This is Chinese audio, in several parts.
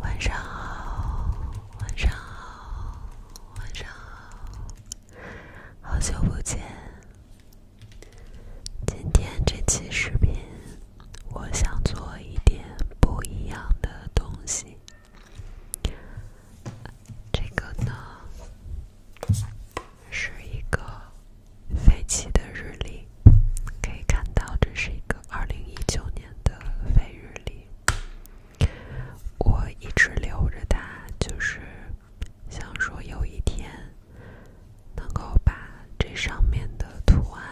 晚上好，晚上好，晚上好，好久不见。今天这期视频，我想做一点不一样的东西。这个呢，是一个废弃的日历。可以看到，这是一个二零一九年的废日历，我一直留着它，就是想说有一天能够把这上面的图案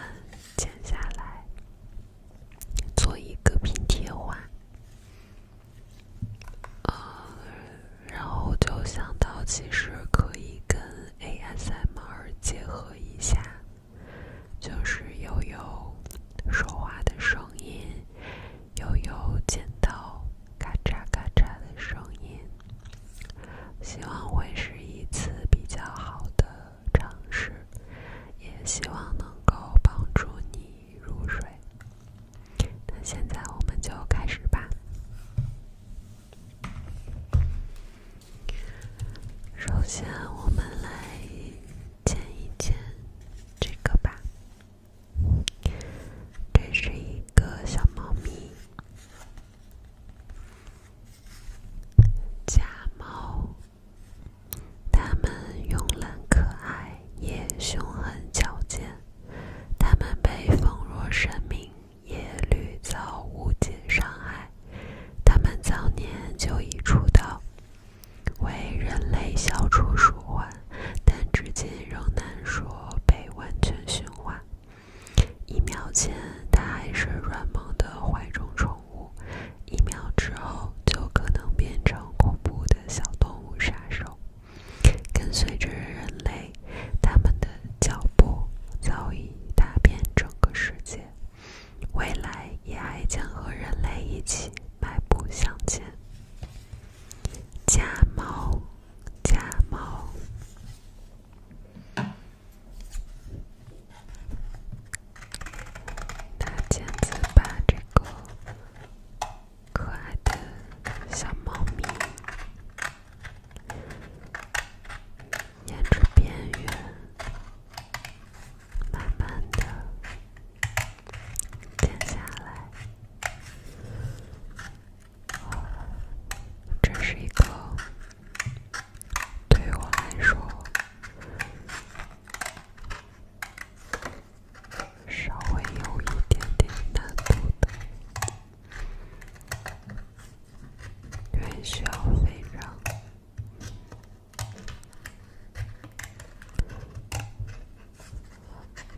剪下来做一个拼贴画。嗯，然后就想到其实可以跟 ASMR 结合一下。就是悠悠说话的声音，悠悠剪刀咔嚓咔嚓的声音。希望会是一次比较好的尝试，也希望能够帮助你入睡。那现在我们就开始吧。首先，我们来见一见这个吧。这是一个小猫咪，家猫。它们慵懒可爱，也凶狠矫健。它们被奉若神明。也屡遭无尽伤害。他们早年就已出道，为人类消除鼠患，但至今仍难说被完全驯化。一秒前，它还是软萌的怀中宠物；一秒之后，就可能变成恐怖的小动物杀手。跟随着人类，他们的脚步早已踏遍整个世界。未来也还将和人类一起迈步向前。家猫，家猫，大剪子把这个可爱的小猫咪。沿着边缘，慢慢的剪下来。这是一个，对我来说，稍微有一点点难度的，因为需要非常。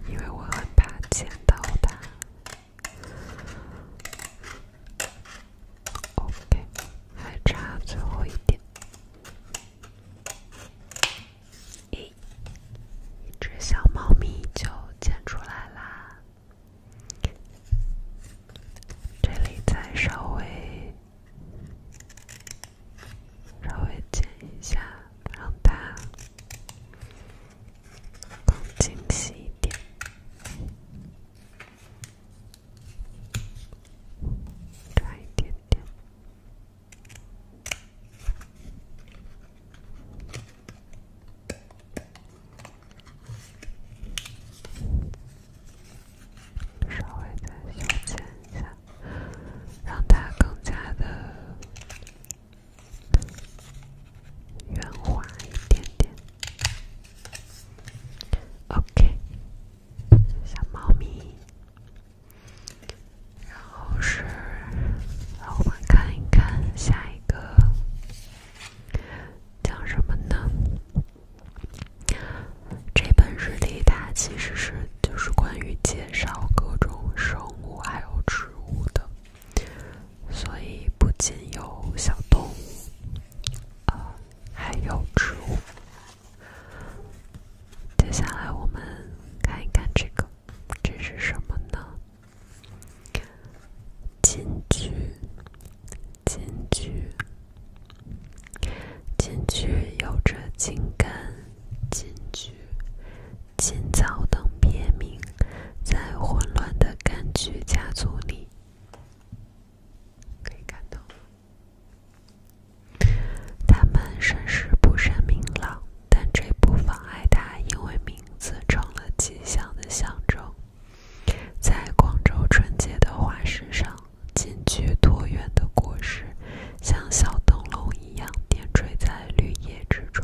因为我很怕剪到它。OK，还差最后一点，一，一只小猫咪就剪出来啦。这里再稍微稍微剪一下，让它更精细一点，加一点点。稍微再修剪一下，让它更加的圆滑一点点。OK，小猫咪。然后是，让我们看一看下一个讲什么呢？这本日历它其实是就是关于介绍各种生物还有植物的，所以不仅有小动物，呃，还有植物。接下来我们看一看这个，这是什么呢？金桔，金桔，金桔有着金柑、金桔、金枣等别名，在混乱的柑橘家族里，可以看到。它们身世不甚明朗，但这不妨碍它因为名字成了吉祥的象征。在广州春节的花市上，金桔椭圆的果实，像小灯笼一样点缀在绿叶之中，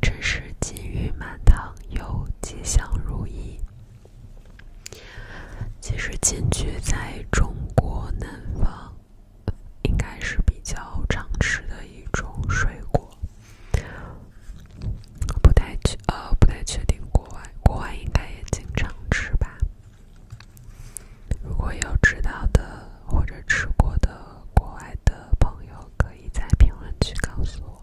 真是金玉满堂又吉祥如意。其实金桔在中国南方，应该是比较常吃的一种水果。我不太确呃不太确定，国外国外应该也经常吃吧。如果有知道的或者吃过的国外的朋友，可以在评论区告诉我。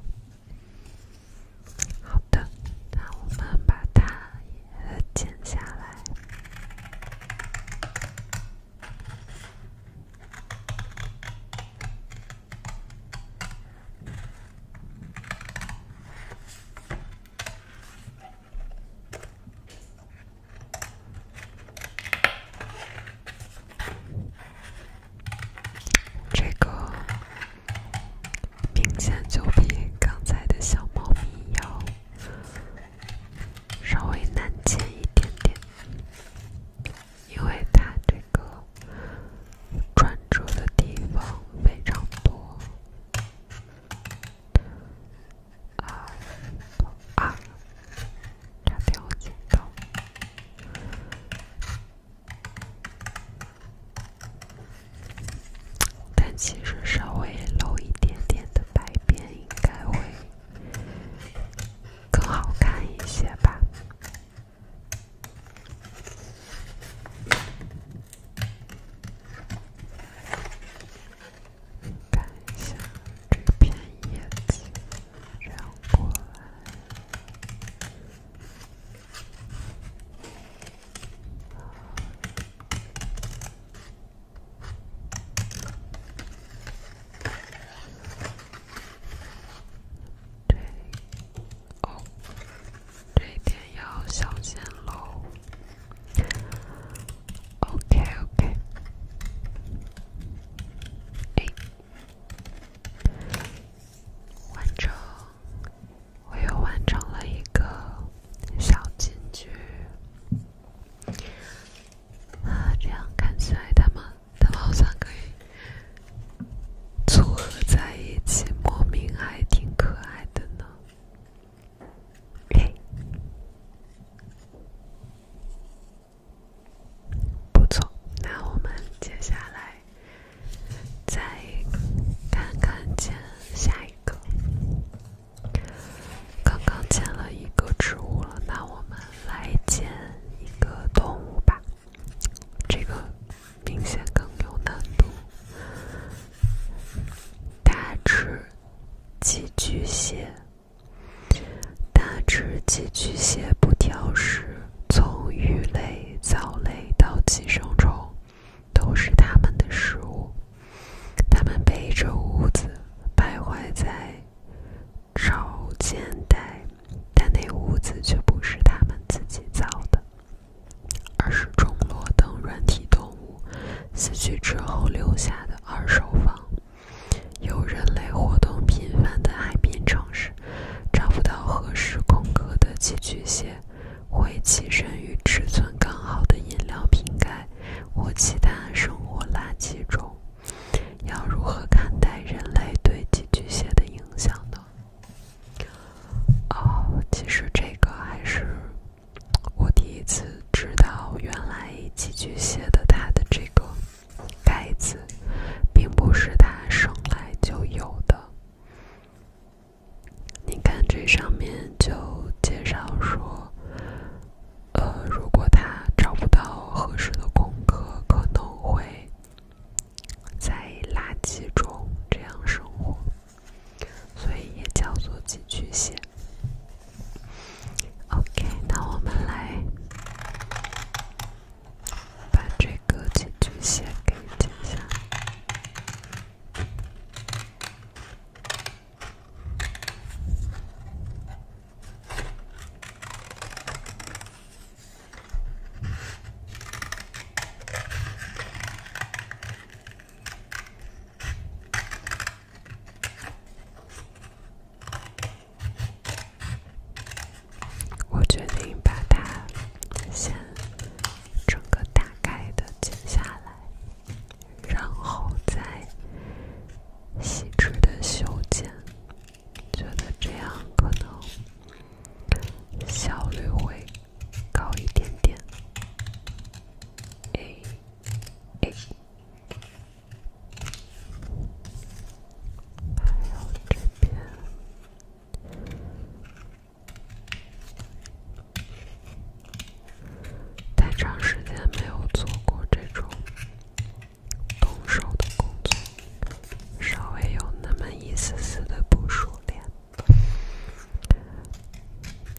好的，那我们把它剪下来。这个明显就比刚才的小猫咪要稍微难剪一点点，因为它这个。转折的地方非常多啊啊！这表情包，但其实稍微露一点点的白边，应该会更好看一些吧。看一下这片叶子，让过来。哦，这一点要小心喽。OK，OK。哎，完成！我又完成了一个小金句啊，这样看起来他们，他们好像可以。组合在一起，莫名还挺可爱的呢。哎，不错。那我们接下来再看看见下一个。刚刚捡了一个植物了，那我们来捡一个动物吧。这个明显更有难度。大只寄居蟹，大只寄居蟹不挑食，从鱼类、藻类到寄生虫，都是它们的食物。它们背着屋子徘徊在潮间带，但那屋子却不是它们自己造的。而是中螺等软体动物死去之后留下的“二手房”，有人类活动频繁的海边城市，找不到合适空壳的寄居蟹，会栖身于尺寸刚好的饮料瓶盖或其他生活垃圾中。要如何看待人类对寄居蟹的影响呢？哦，其实这个还是我第一次知道，原来巨巨蟹的他的这个盖子，并不是他生来就有的。你看这上面就介绍说，呃，如果他找不到合适的空格，可能会。在垃圾中这样生活，所以也叫做寄居蟹。OK，那我们来把这个寄居蟹给剪下。来。我决定把它先整个大概的剪下来，然后再细致的修剪。觉得这样可能效率会。高一点点，哎哎，太长时间没有做过这种动手的工作，稍微有那么一丝丝的不熟练。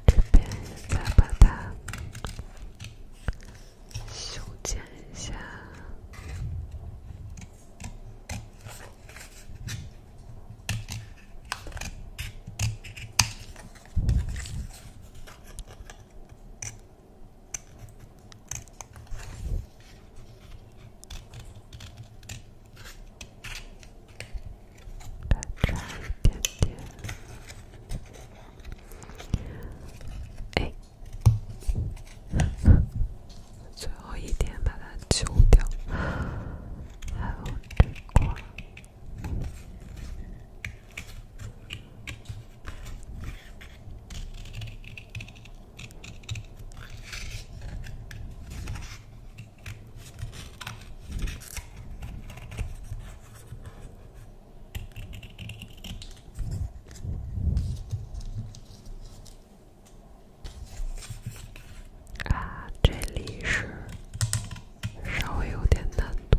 这边再把它修剪一下。再擦一遍点，哎，最后一点把它揪掉，还有这块。啊，这里是稍微有点难度，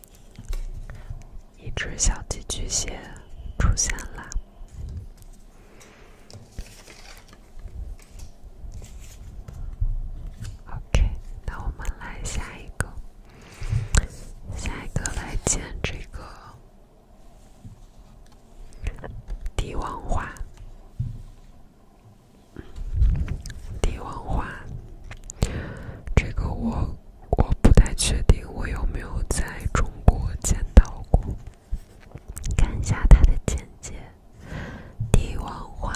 一只小寄居蟹出现啦。OK，那我们来下一个，下一个来建这个帝王花，帝王花，这个我。我不太确定我有没有在中国见到过。看一下它的简介：帝王花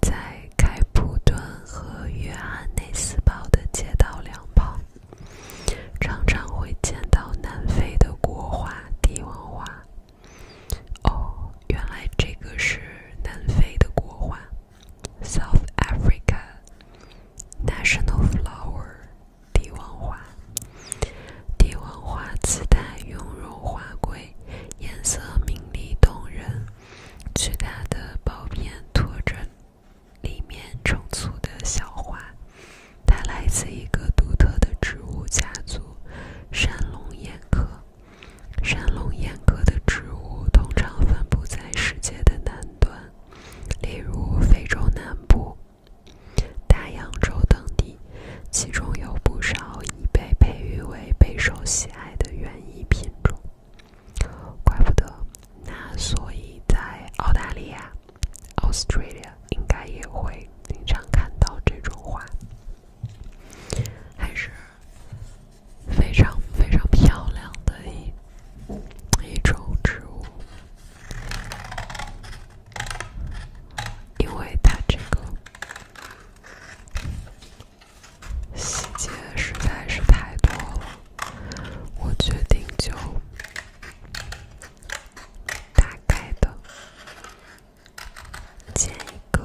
在开普敦和约翰内斯堡的街道两旁，常常会见到南非的国花帝王花。哦，原来这个是南非的国花。South Africa national flower，帝王花。帝王花姿态雍容华贵，颜色明丽动人，巨大的苞片托着里面成簇的小花。它来自一个独特的植物家族——山龙眼科。山龙眼科的植物通常分布在世界的南。端，例如非洲南部、大洋洲等地，其中有不少已被培育为备受喜爱的园艺品种。怪不得，那所以在澳大利亚 （Australia） 应该也会经常看到这种花，还是？非常非常漂亮的一一种植物，因为它这个细节实在是太多了，我决定就大概的剪一个。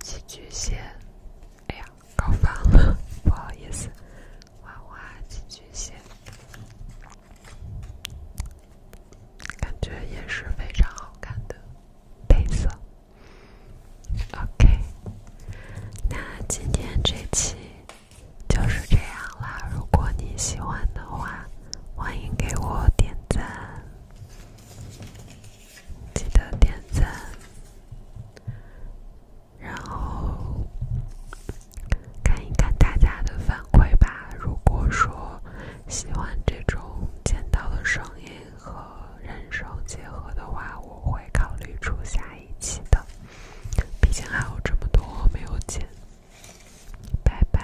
寄居蟹，哎呀，搞反了，不好意思。花花寄居蟹感觉也是非常好看的配色。OK，那今天这期就是这样啦。如果你喜欢的话，欢迎给我点赞。记得点赞，然后看一看大家的反馈吧。如果说喜欢这种剪刀的声音和人声结合的话，我会考虑出下一期的。毕竟还有这么多没有剪。拜拜。